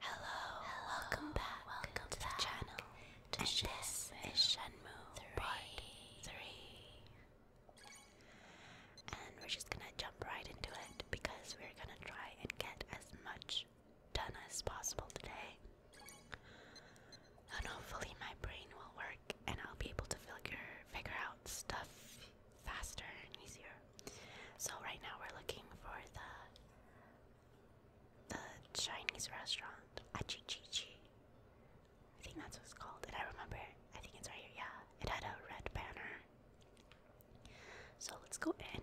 Hello, welcome back, welcome to the channel. and this is Shenmue 3. 3. And we're just gonna jump right into it because we're gonna try and get as much done as possible today. And hopefully my brain will work and I'll be able to figure figure out stuff faster and easier. So right now we're looking for the the Chinese restaurant Achichichi. I think that's what it's called. and I remember? I think it's right here. Yeah, it had a red banner. So let's go in.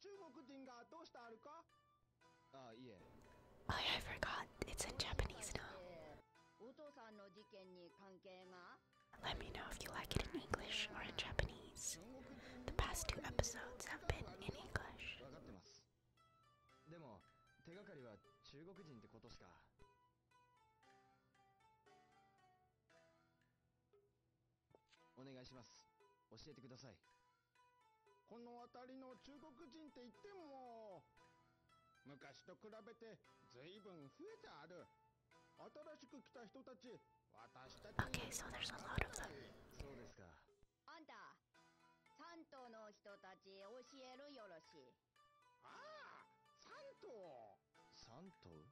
中国人がどうしてあるかあ、いえ。Oh yeah, I forgot. It's in Japanese now. お父さんの事件に関係が Let me know if you like it in English or in Japanese. The past two episodes have been in English. わかってます。でも、手がかりは中国人ってことしか。お願いします。教えてください。この辺りの中国人っていっても昔と比べてずいぶん増えてある新しく来た人たち私たち o k そうですかあんた三島の人たち教えるよろしいああ三島三島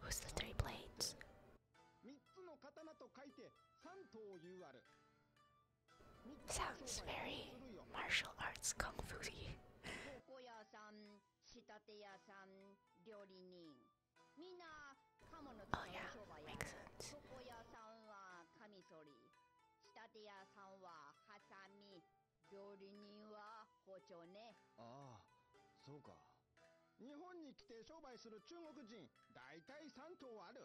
Who's the t h r 三つの刀と書いて三刀流ある。Sounds very martial arts kung fu-y. ここ屋さん、仕立て屋さん、料理人。みんな、鴨の使い商売や。ここ屋さんはカミソリ。仕立て屋さんはハサミ。料理人は包丁ね。ああ、そうか。日本に来て商売する中国人、大体3頭ある。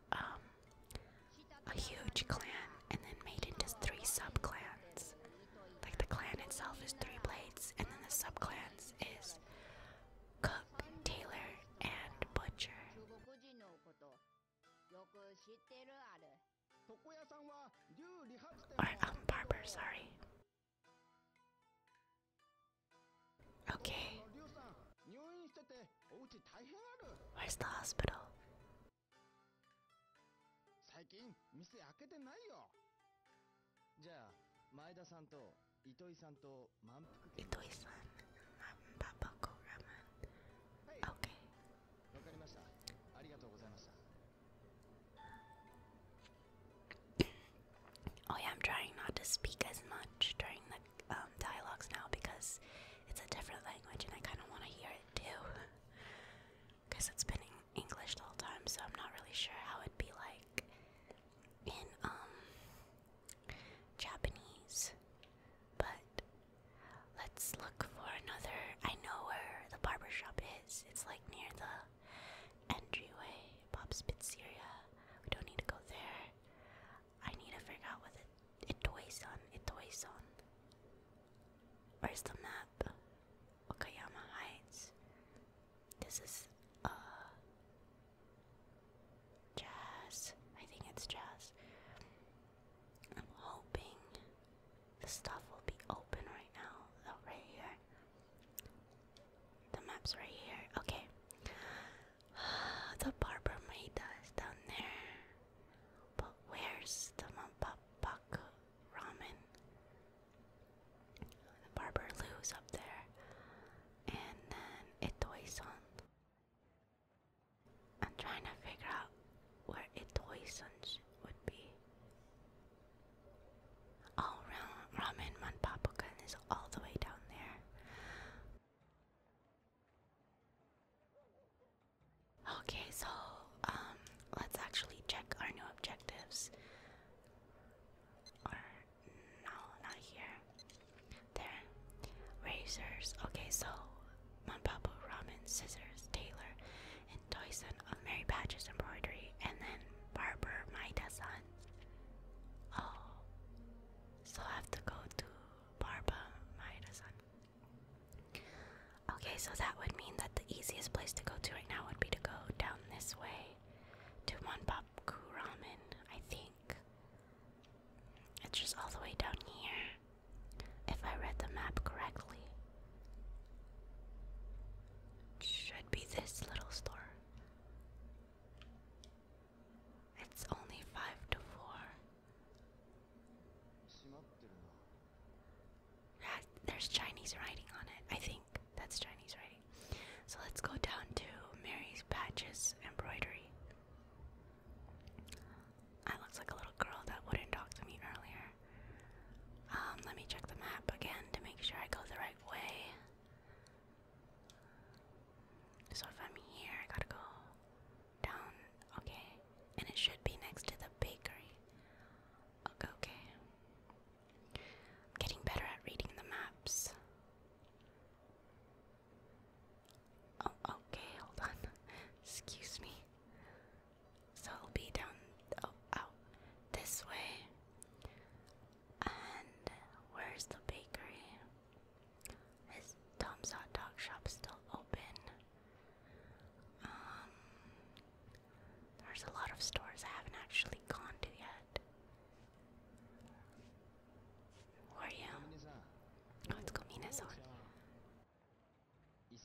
um, a huge clan and then made into three sub Like the clan itself is three blades, and then the sub is cook, tailor, and butcher. Or um, barber, sorry. Okay. Where's the hospital? 最近店開けてないよじゃあ前田さんと糸井さんと満腹糸井さんパパコラマンはい Oh yeah, I'm trying not to speak as much during the um, dialogues now because it's a different language and I kind of want to hear it too. Because it's been in English the whole time, so I'm not really sure how it'd be like in um Japanese. But let's look for another. I know where the barber shop is. It's like near the entryway, Bob's Pizzeria. We don't need to go there. I need to figure out what it Itoy-san, Itoy-san. Where's the map? Okayama Heights. This is uh jazz. I think it's jazz. I'm hoping the stuff will be open right now. Oh, right here. The map's right here. Okay. the barber made down there. But where's the Mampapaku ramen? The barber Lou's up there. And then Itoy-san. I'm trying to figure out where Itoy-san would be. All round ramen Manpapukan is all the way down there. Okay, so um, let's actually check our new objectives. Or not here. There, razors. Okay, so Mampapu ramen, scissors, Taylor, and Dyson of uh, Mary Patch's embroidery, and then barber Maida-san. Oh, so I have to go to barber Maida-san. Okay, so that would mean that the easiest place to go to right now would be to go down this way to Monpapku Ramen, I think. It's just all the way down here, if I read the map correctly. Should be this little store. It's only 5 to 4. That, there's Chinese writing on it. I think that's Chinese writing. So let's go down to Mary's Patches Embroidery. That looks like a little girl that wouldn't talk to me earlier. Um, let me check the map again to make sure I go the right way. So if I'm here, I gotta go down, okay, and it should be next to the bakery. Okay, I'm getting better at reading the maps. Oh, okay, hold on. Excuse me. So it'll be down, oh, this way. And where's the bakery? Is Tom's hot dog shop still open? Um, there's a lot of stores I haven't actually gone to yet. are you? Oh, it's Komine-san.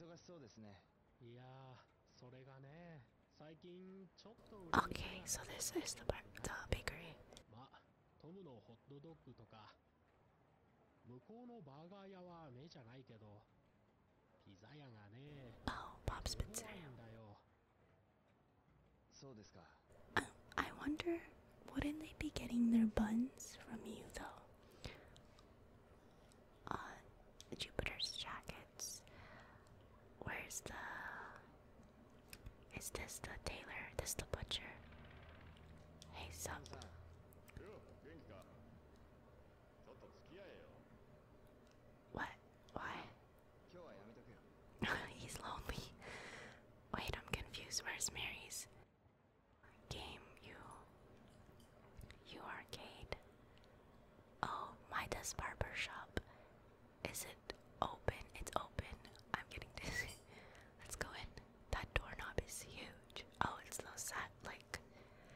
忙しそうですね。いや、それがね、最近ちょっと。Okay, so this is the the bakery. Oh, Bob's Pizza. I wonder, wouldn't they be getting their buns from you though? Uh, Jupiter's jackets. Where's the. Is this the tailor? This the butcher? Hey, sup. What? Why? He's lonely. Wait, I'm confused. Where's Mary's? Game, you. You arcade. Oh, Midas Barber Shop. Is it open? It's open. I'm getting dizzy. Let's go in. That doorknob is huge. Oh, it's those sat like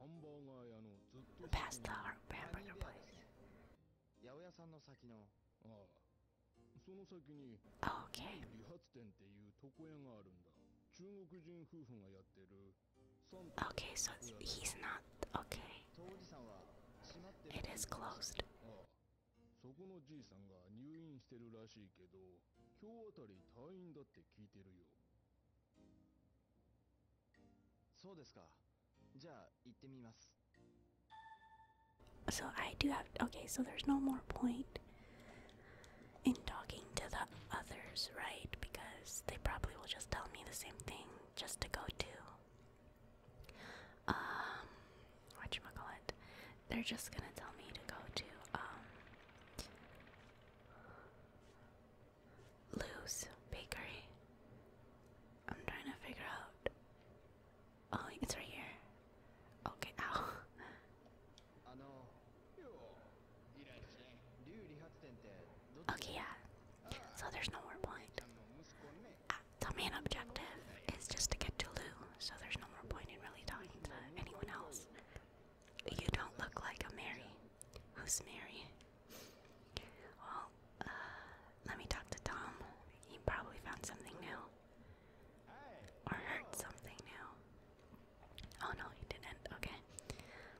p a s ー the h a m b u r g ー r place. 八百屋さんの先の。ああ。その先に。Okay. 理髪店っていう床屋があるんだ。中国人夫婦がやってる。Okay, so he's not okay. It is closed. そこのじいさんが入院してるらしいけど、今日あたり退院だって聞いてるよ。So I do have okay, so there's no more point in talking to the others, right? Because they probably will just tell me the same thing just to go to um whatchamacallit. They're just gonna tell me to go to um, Lou's Bakery. I'm trying to figure out. Oh, it's right here. Okay, ow. okay, yeah. So there's no more point. Ah, the main objective is just to get to Lou, so there's no more point in really talking to anyone else. You don't look like a Mary. Who's Mary? Well, uh, let me talk to Tom. He probably found something new. Or heard something new. Oh no, he didn't. Okay.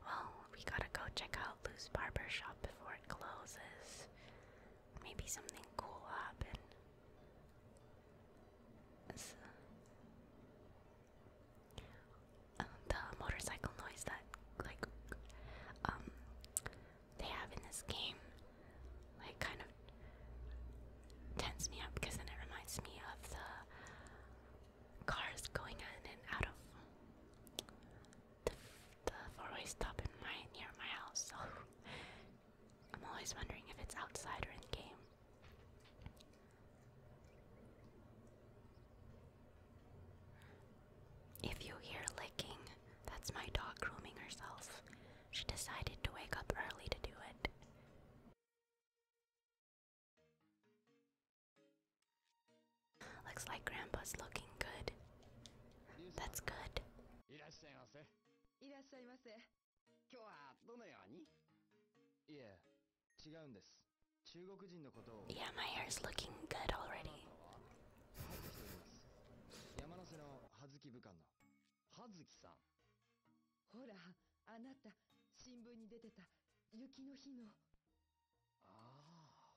Well, we gotta go check out Lou's barber shop before it closes. Maybe something cool happened. Um, the motorcycle noise that like um they have in this game like kind of tense me up because then it reminds me of the cars going in and out of the, the four-way stop near my house. So I'm always wondering if it's outside or in game. If you hear licking, that's my dog grooming herself. She decided to wake up early to do it. Looks like Grandpa's looking good. That's good. 違うんです。中国人のことを。Yeah, my hair's looking good already. 山の瀬の葉月武官の。葉月さん。ほら、あなた、新聞に出てた雪の日の。あ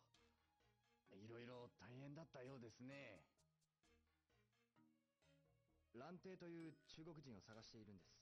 あ。いろいろ大変だったようですね。蘭亭という中国人を探しているんです。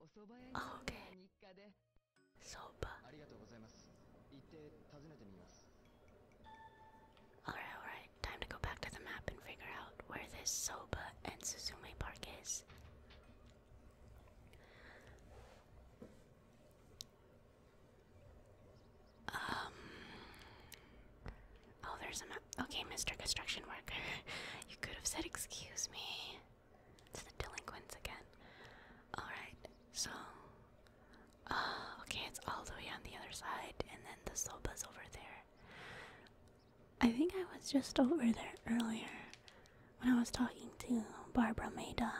お蕎麦屋に日課でそばありがとうございます行って訪ねてみます Alright, alright. Time to go back to the map and figure out where this Soba and Suzume Park is. Um. Oh, there's a map. Okay, Mr. Construction Worker. you could have said, Excuse me. It's the delinquents again. Alright, so. Uh, okay, it's all the way on the other side, and then the soba's over there. I think I was just over there earlier when I was talking to Barbara Maida.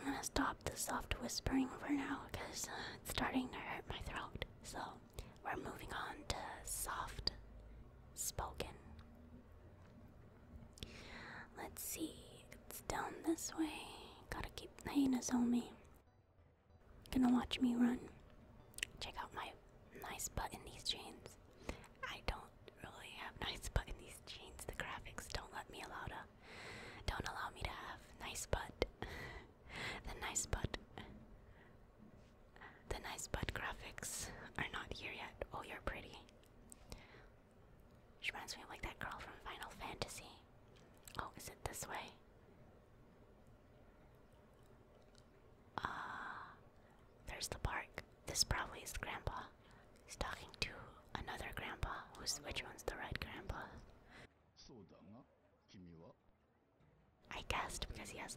I'm gonna stop the soft whispering for now because uh, it's starting to hurt my throat. So we're moving on to soft spoken. Let's see, it's down this way. Gotta keep the hyenas on me. Gonna watch me run. Check out my nice butt in these jeans. I don't really have nice butt in these jeans. The graphics don't let me allow to. Don't allow me to have nice butt. the nice butt. The nice butt graphics are not here yet. Oh, you're pretty. She reminds me of like that girl from Final Fantasy. Oh, is it this way? Ah, there's the park. This probably is Grandpa. He's talking to another Grandpa. Who's which one's the right Grandpa? I guessed because he has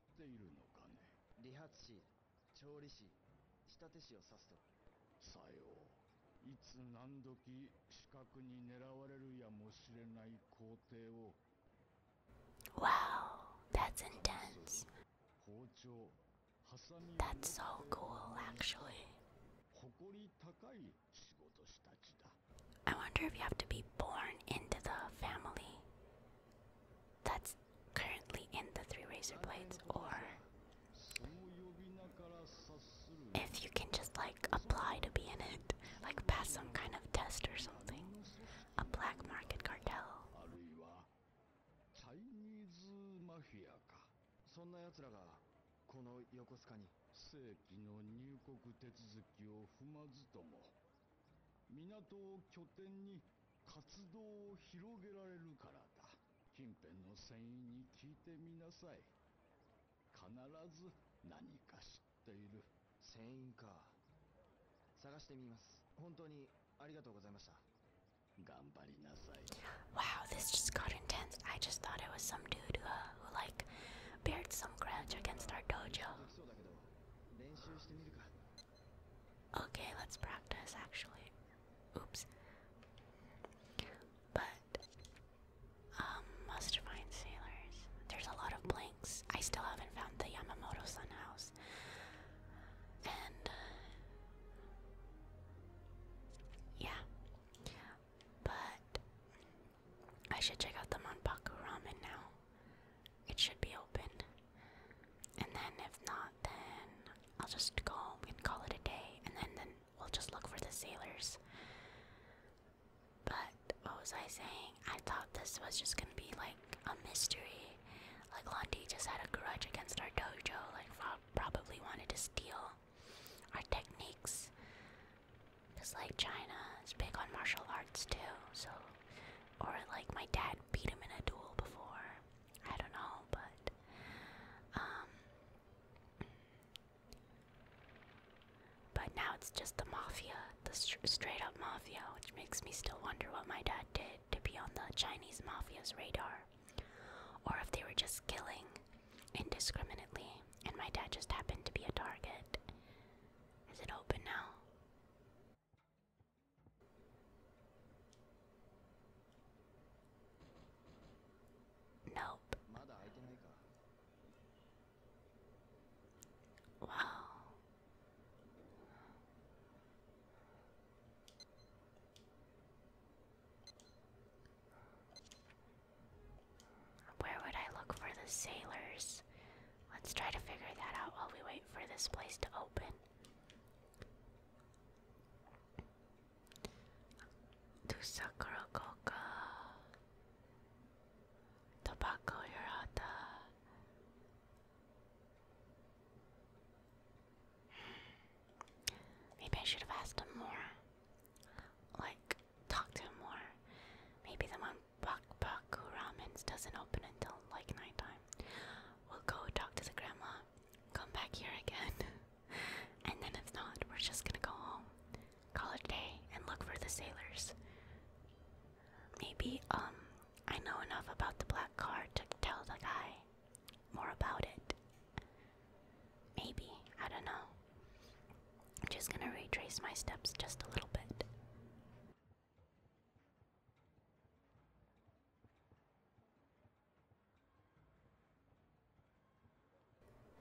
知っているのかね理髪師調理師仕立て師を指すとさよういつ何時視覚に狙われるやもしれない工程を Wow, that's intense. That's so cool, actually. I wonder if you have to be born into the family that's currently in the three razor blades, or if you can just like apply to be in it, like pass some kind of test or something. A black market cartel. し活動を広げられるからだ近辺の船員に聞いてみなさい必ず何か知っている船員か探してみます本当にありがとうございました Wow, this just got intense. I just thought it was some dude who, uh, who like, bared some grudge against our dojo. Okay, let's practice actually. Oops. But um must find sailors. There's a lot of blinks. I still haven't found the Yamamoto Sun house. And uh, yeah. But I should check out the Monpaku ramen now it should be open. And then if not, then I'll just go home and call it a day, and then then we'll just look for the sailors. But what was I saying? I thought this was just gonna be like a mystery. Like Londi just had a grudge against our dojo. Like probably wanted to steal our techniques. Cause like China is big on martial arts too, so or like my dad beat him in a duel before. I don't know, but um but now it's just the mafia, the straight up mafia, which makes me still wonder what my dad did to be on the Chinese mafia's radar, or if they were just killing indiscriminately, and my dad just happened to be a target. Is it open now? Nope. Wow. Where would I look for the sailors? Let's try to figure that out while we wait for this place to open. To Sakura Coca, Tobacco Hirata. Maybe I should have asked him more. Like, talk to him more. Maybe the one Bakbaku Ramens doesn't open until like nighttime. We'll go talk to the grandma, come back here again, and then if not, we're just gonna go home, call it day, and look for the sailors. Maybe, um, I know enough about the black car to tell the guy more about it. Maybe, I don't know. I'm just gonna retrace my steps just a little bit.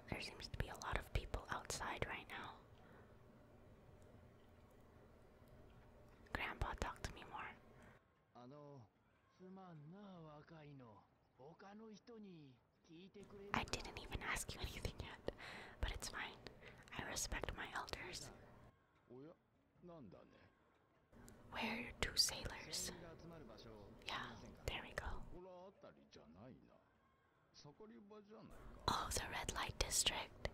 There seems to be a lot of people outside right now. Grandpa, talk to me more. あの、すまんな、若いの。他の人に聞いてくれる。I didn't even ask you anything yet, but it's fine. I respect my elders. Where are two sailors? Yeah, there we go. Oh, the red light district.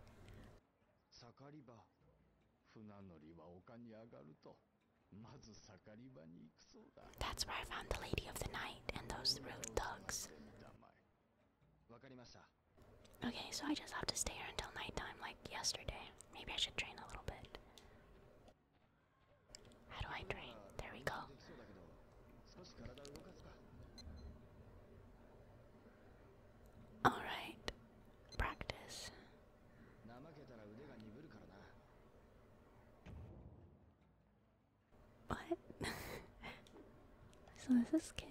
That's where I found the lady of the night and those rude dogs. Okay, so I just have to stay here until nighttime like yesterday. Maybe I should train a little bit. How do I train? There we go. Alright. Practice. What? so this is kick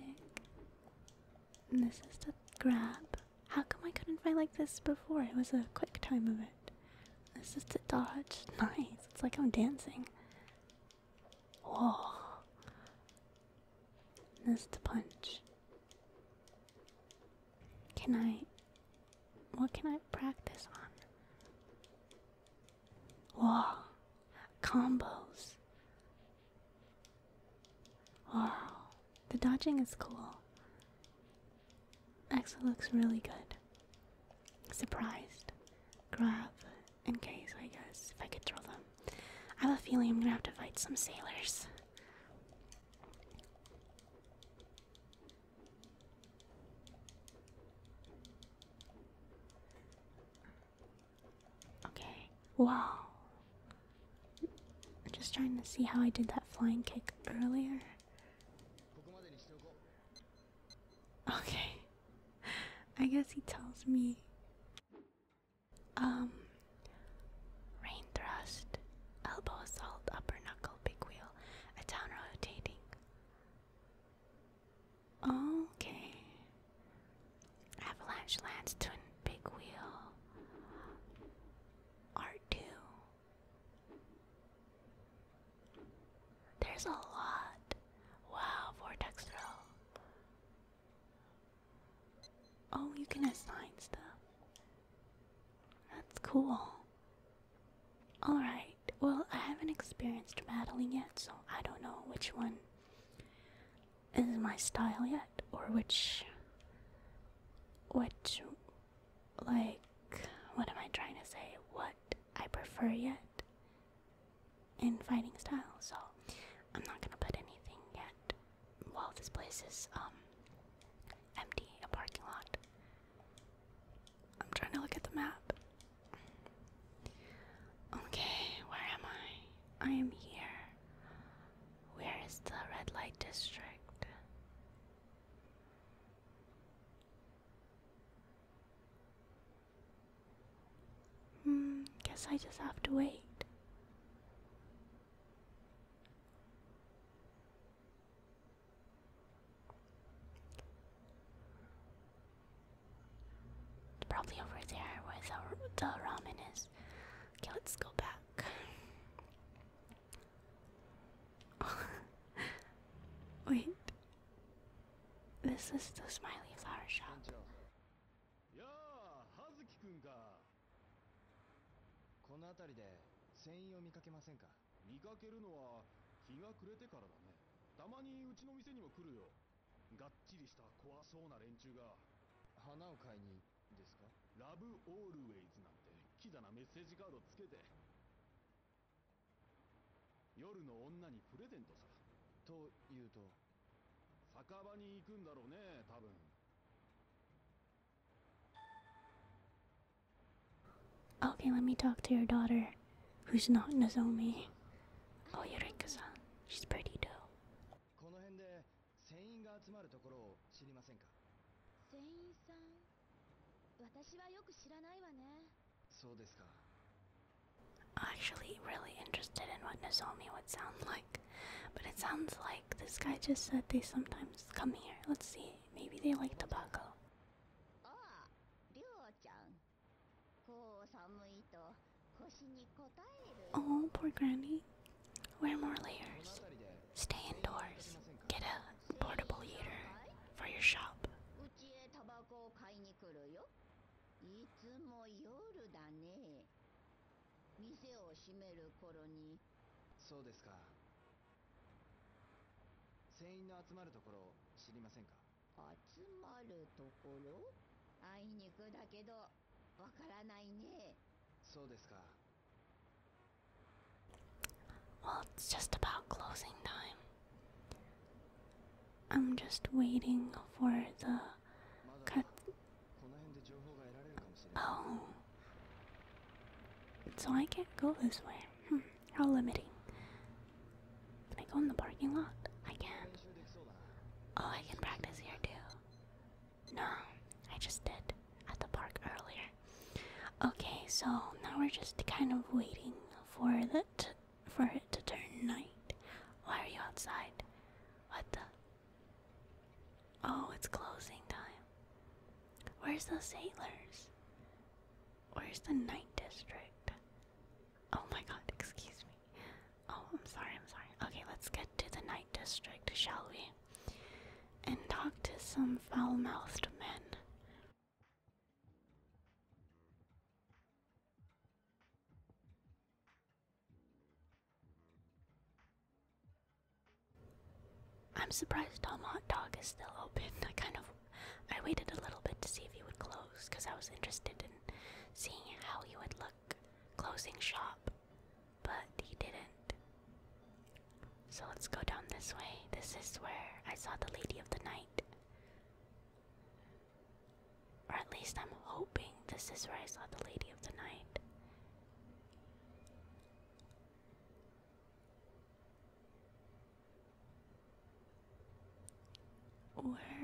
this is the grab. How come I couldn't fight like this before? It was a quick time of it. This is the dodge. Nice. It's like I'm dancing. Whoa. This is the punch. Can I. What can I practice on? Whoa. Combos. Oh, the dodging is cool. Actually looks really good. Surprised. Grab in case, I guess, if I could throw them. I have a feeling I'm gonna have to fight some sailors. Okay. Wow, I'm just trying to see how I did that flying kick earlier. Okay. I guess he tells me. Um. Rain thrust, elbow assault, upper knuckle, big wheel, a down rotating. Okay. Avalanche lands to big wheel. R2. There's a lot. Wow, vortex throw. Oh, you can assign stuff. That's cool. Alright, well, I haven't experienced battling yet, so I don't know which one is my style yet, or which, which, like, what am I trying to say? What I prefer yet in fighting style. So I'm not gonna put anything yet. While this place is um empty, a parking lot. I'm trying to look at the map. Okay, where am I? I am here. Where is the red light district? Hmm, guess I just have to wait. It's probably over there where the, the ramen is. Okay, let's go back. Wait. This is t この辺りで船員を見かけませんか見かけるのは日が暮れてからだねたまにうちの店にも来るよがっちりした怖そうな連中が花を買いにですかラブオールウェイズなんてキザなメッセージカードつけて夜の女にプレゼントさというと酒場に行くんだろうね多分 Okay, let me talk to your daughter, who's not Nozomi. Oh, Eureka-san. She's pretty, though. 船員が集まるところを知りませんか船員さん私はよく知らないわねそうですか Actually, really interested in what Nozomi would sound like, but it sounds like this guy just said they sometimes come here. Let's see, maybe they like tobacco. Oh, poor Granny. Wear more layers. Stay indoors. Get a portable heater for your shop. Well, it's just about closing time. I'm just waiting for the cut. Oh. So I can't go this way. Hmm. How limiting. Can I go in the parking lot? I can. Oh, I can practice here too. No, I just did at the park earlier. Okay, so now we're just kind of waiting for the for it to turn night. Why are you outside? What the? Oh, it's closing time. Where's the sailors? Where's the night district? Oh my god, excuse me. Oh, I'm sorry, I'm sorry. Okay, let's get to the night district, shall we? and talk to some foul mouthed men. I'm surprised Tom Hot Dog is still open. I kind of I waited a little bit to see if he would close because I was interested in seeing how he would look closing shop but he didn't. So let's go down this way. This is where I saw the Lady of the Night. Or at least I'm hoping this is where I saw the Lady of the Night.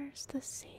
Where's the sailors?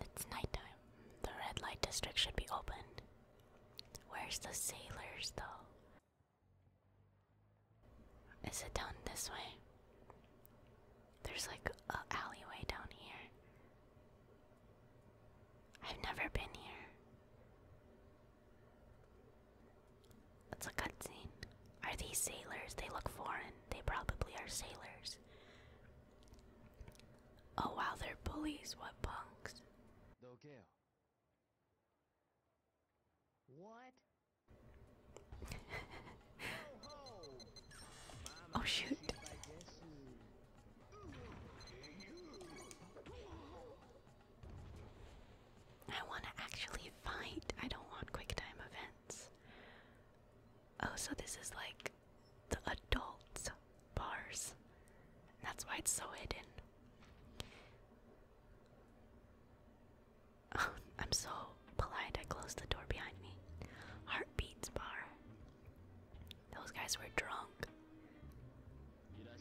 It's night time. The red light district should be opened. Where's the sailors, though? Is it down this way? There's like a alleyway down here. I've never been here. It's a cutscene. Are these sailors? They look foreign. They probably are sailors. Oh wow, they're bullies, what punks. oh shoot. I want to actually fight. I don't want quick time events. Oh, so this is like the adults, bars. that's why it's so hidden. I'm so polite, I closed the door behind me. Heartbeats bar. Those guys were drunk.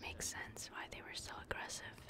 Makes sense why they were so aggressive.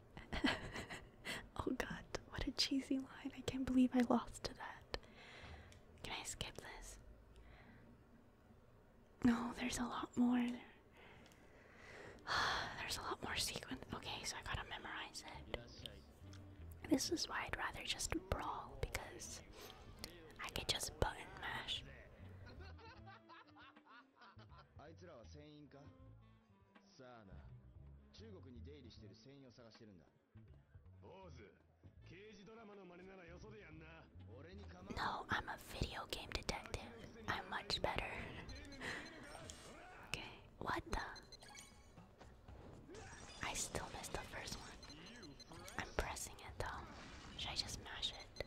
oh god, what a cheesy line. I can't believe I lost to that. Can I skip this? No, there's a lot more. there's a lot more sequence. Okay, so I gotta memorize it. This is why I'd rather just brawl because I could just button mash. さあな中国に出入りしてる船員を探してるんだ坊主刑事ドラマの真似ならよそでやんな俺に構 No, I'm a video game detective. I'm much better. okay, what the? I still missed the first one. I'm pressing it though. Should I just mash it?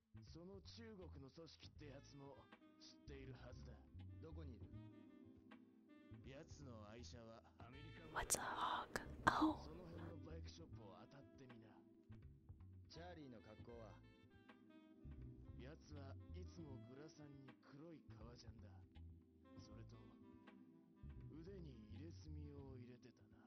その中国の組織ってやつも知っているはずだどこにいるやつの愛車はアメリカ What's a hog? その辺のバイクショップを当たってみなチャーリーの格好はやつはいつもグラさんに黒い革ジャンだそれと腕に入れ墨を入れてたな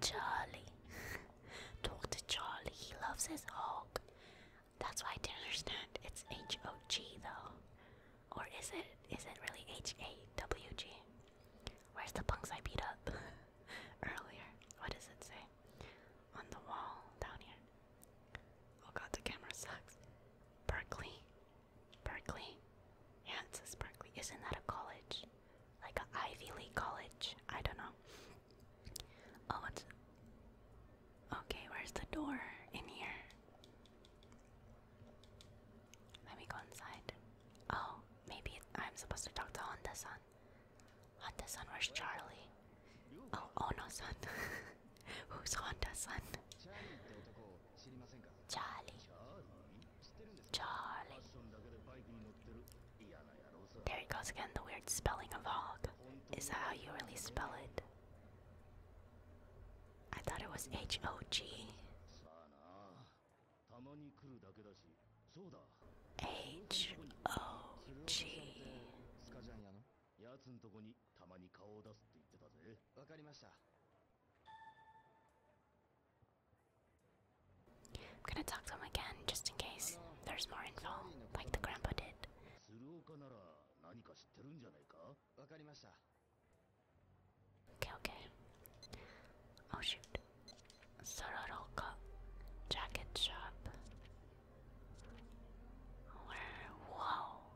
Charlie Talk to Charlie, he loves his hog That's why I didn't understand It's H-O-G though Or is it, is it really H-A-W-G? Where's the punks I beat up earlier? What does it say? On the wall, down here Oh god, the camera sucks Berkeley Berkeley? Yeah, it says Berkeley. Isn't that a college? Like an Ivy League college? I don't know. Oh, it's. Okay, where's the door in here? Let me go inside. Oh, maybe I'm supposed to talk to Honda san. Honda san, where's Charlie? Oh, Ono oh san. Who's Honda san? Charlie. There it goes again, the weird spelling of hog. Is that how you really spell it? I thought it was H O G. H O G. I'm gonna talk to him again just in case there's more info, like the grandpa did. Okay, okay. Oh shoot. Sororoka jacket shop. Where? Whoa.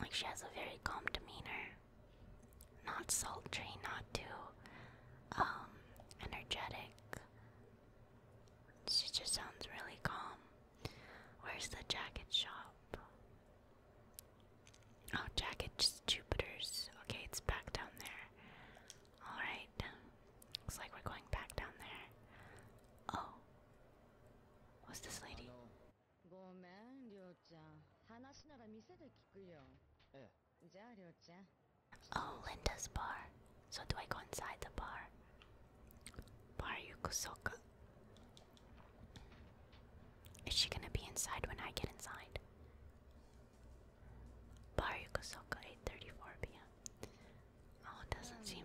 Like she has a very calm demeanor, not sultry, not too um, energetic. She just sounds really calm. Where's the jacket shop? Oh, jacket Jupiter's. Okay, it's back down there. All right, looks like we're going back down there. Oh, What's this lady? Oh, Linda's bar. So do I go inside the bar? Bar Yukusoka. Is she gonna be inside when I get inside? Bar Yukusoka, 8:34 p.m. Oh, it doesn't seem.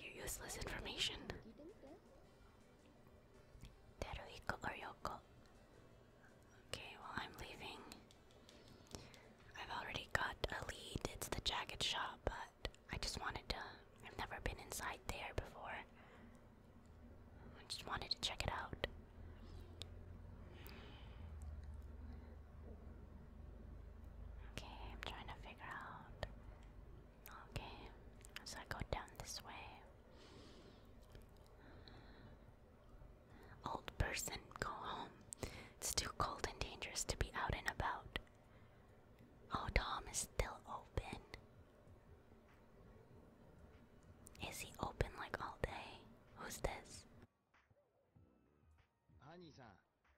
Your useless information. Teruhiko or Yoko? Okay, well, I'm leaving. I've already got a lead. It's the jacket shop, but I just wanted to. I've never been inside there before. I just wanted to check it out. Okay, I'm trying to figure out. Okay, so I go down this way. Old person, go home. It's too cold and dangerous to be out and about. Oh, Tom is still open. Is he open like all day? Who's this? Honey-san,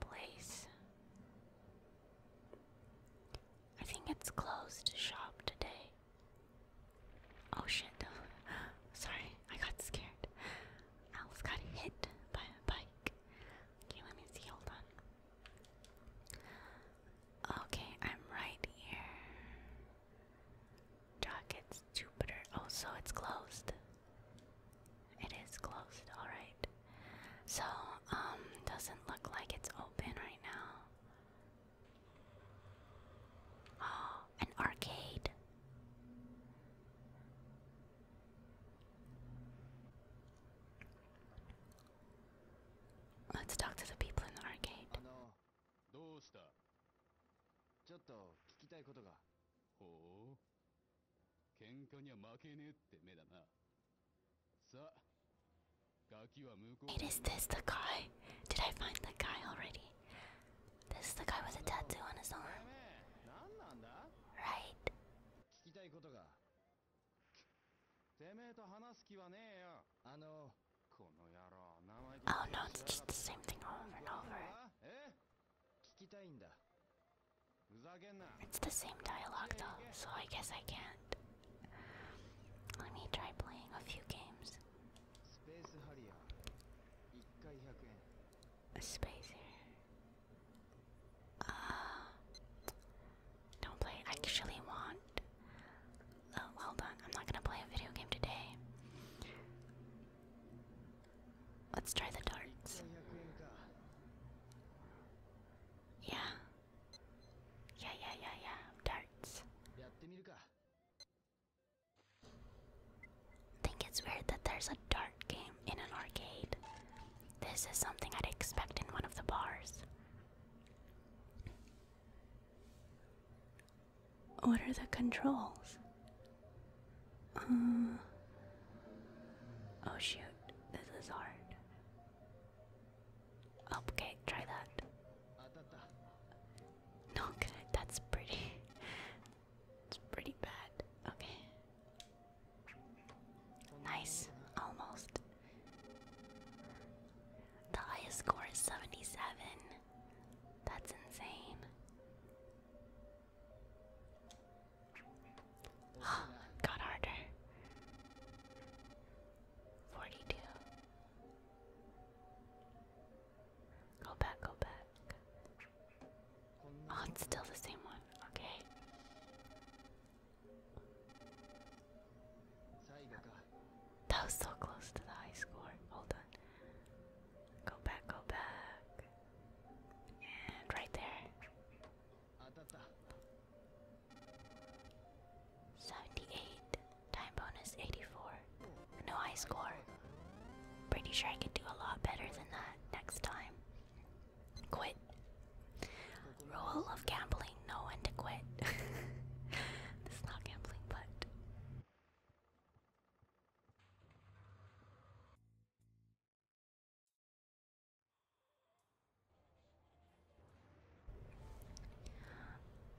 place. I think it's closed shop today. Oh shit. Sorry, I got scared. I almost got hit by a bike. Okay, let me see. Hold on. Okay, I'm right here. Dockets Jupiter. Oh, so it's closed. It is closed, alright. So, um, doesn't look like it's open right now. Oh, an arcade. Let's talk to the people in the arcade. 喧嘩には負けねえって目だなさあ this the guy? Did I find the guy already? This the guy with a tattoo on his arm. Right. Oh no, it's just the same thing over and over. It's the same dialogue though, so I guess I can't. Let me try playing a few games. A space here. Uh, don't play. I actually want. Oh, well done. I'm not gonna play a video game today. Let's try the darts. Yeah. Yeah, yeah, yeah, Darts. I think it's weird that there's a dart game in an arcade. This is something I'd expect in one of the bars. What are the controls? Uh, oh shoot, this is hard. Oh, okay, try that. No good, that's pretty. it's pretty bad. Okay. Nice, almost. The highest score is 77. That's insane. got harder. Forty-two. Go back, go back. Oh, it's still the same one. Okay. That was so close to the high score. Hold on. Go back, go back. And right there. 78. Time bonus 84. No high score. Pretty sure I could do a lot better than that next time. Quit. Rule of gambling, no when to quit. this is not gambling, but.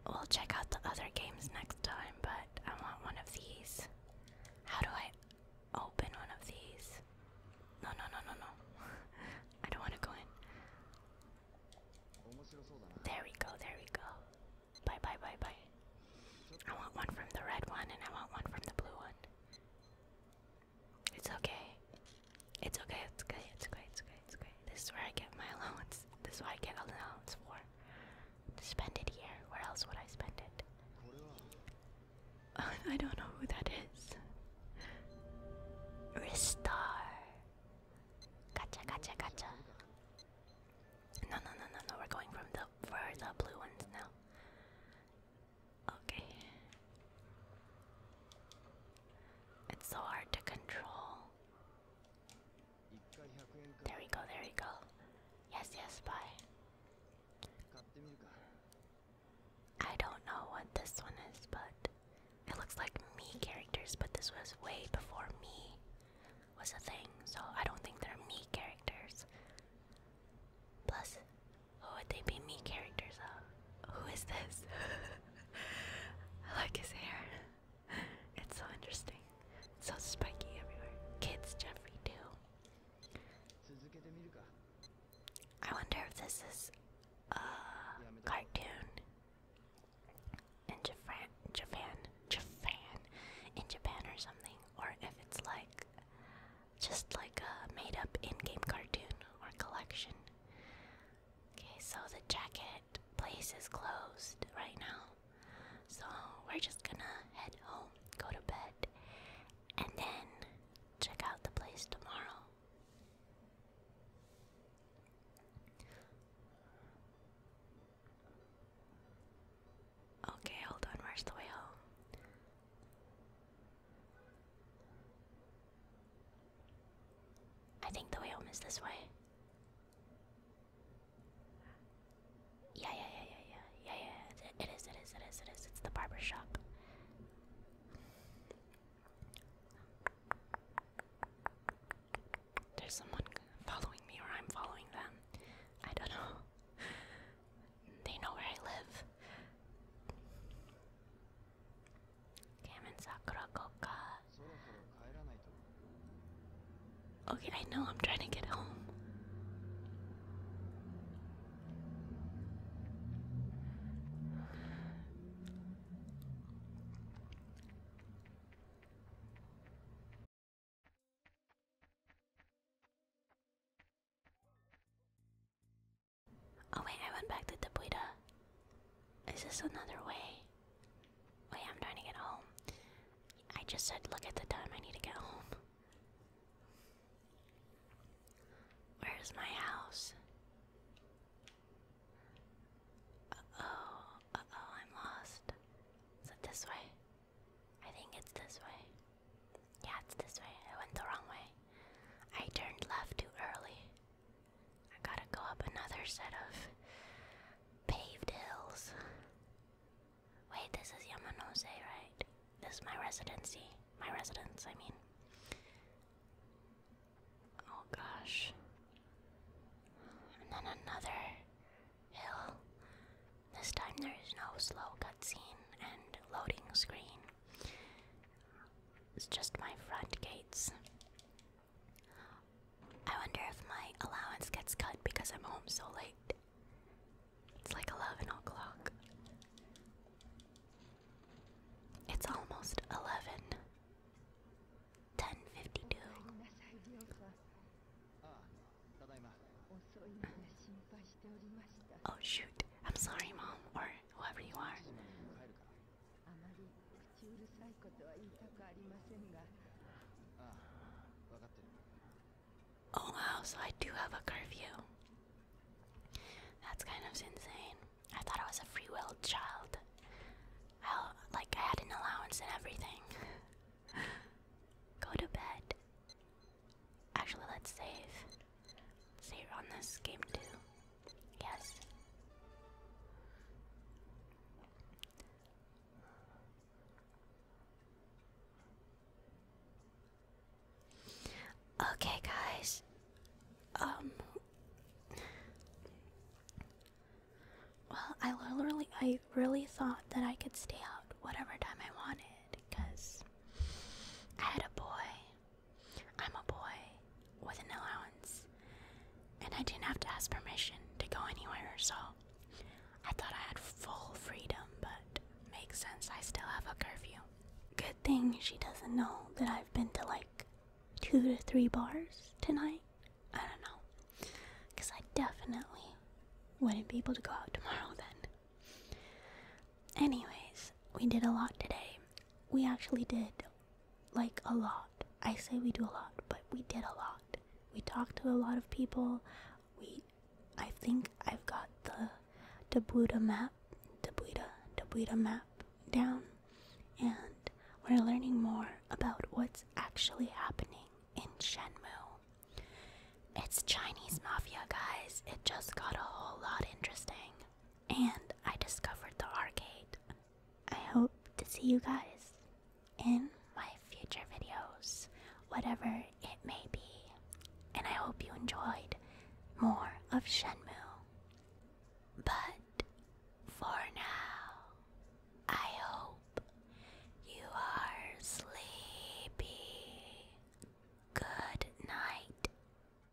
We'll check out the other games next time, but I want one of these. How do I open one of these? No, no, no, no, no. I don't want to go in. There we go, there we go. Bye, bye, bye, bye. I want one from the red one and I want one from the blue one. It's okay. It's okay. It's okay. It's okay. It's okay. It's okay. This is where I get my allowance. This is what I get an allowance for. To spend it here. Where else would I spend it? I don't know who that is. Ristar. Gotcha. Gotcha. Gotcha. No, no, no, no, no. We're going from the for the blue ones now. Okay. It's so hard to control. There we go, there we go. Yes, yes, bye. I don't know what this one is, but it looks like me characters, but this was way before me was a thing, so I don't think they're me characters. Plus, who would they be me characters of? Who is this? I like his hair. It's so interesting. It's so spiky everywhere. Kids Jeffrey too. I wonder if this is a cartoon in Japan, Japan, Japan, in Japan or something, or if it's like just like a made up in game cartoon or collection. Okay, so the jacket place is closed right now. So we're just gonna head home, go to bed, and then check out the place tomorrow. Okay, hold on, where's the way home? I think the way home is this way. Yeah, yeah, yeah, yeah, yeah, yeah, yeah. it is, it is, it is, it is. It's the barber shop. There's someone following me, or I'm following them. I don't know. They know where I live. Damn it, Sakura Okay, I know, I'm trying to get home. Oh wait, I went back to the Buddha. Is this another way? Wait, I'm trying to get home. I just said look at the time, I need to get home. Where's my house? Uh-oh, uh-oh, I'm lost. Is it this way? I think it's this way. Yeah, it's this way. I went the wrong way. I turned left too early. I gotta go up another set of paved hills. Wait, this is Yamanose, right? This is my residency. My residence, I mean. Oh gosh. And then another hill. This time there is no slow cutscene and loading screen. It's just my front gates. I wonder if my allowance gets cut because I'm home so late. It's like 11 o'clock. It's almost 11. 1052. Oh shoot. I'm sorry, Mom, or whoever you are. あまり口うるさいことは言いたくありませんがああ分かってる Oh wow, I do have a curfew. That's kind of insane. I thought I was a free will child. I, like, I had an allowance and everything. Go to bed. Actually, let's save. See you're on this game too? Yes. Okay, guys. Um. Well, I literally, I really thought that I could stay out whatever time I wanted because I had a boy. I'm a boy with an allowance, and I didn't have to ask permission to go anywhere, so I thought I had full freedom, but makes sense, I still have a curfew. Good thing she doesn't know that I've been to like two to three bars tonight. I don't know, because I definitely wouldn't be able to go out tomorrow then. Anyways, we did a lot today. We actually did like a lot. I say we do a lot, but we did a lot. We talked to a lot of people. We, I think I've got the Dabuda map, Dabuda, Dabuda map down, and we're learning more about what's actually happening in Shenmue. It's Chinese mafia, guys. It just got a whole lot interesting and I discovered the arcade. I hope to see you guys in my future videos, whatever it may be. And I hope you enjoyed more of Shenmue. But for now, I hope you are sleepy. Good night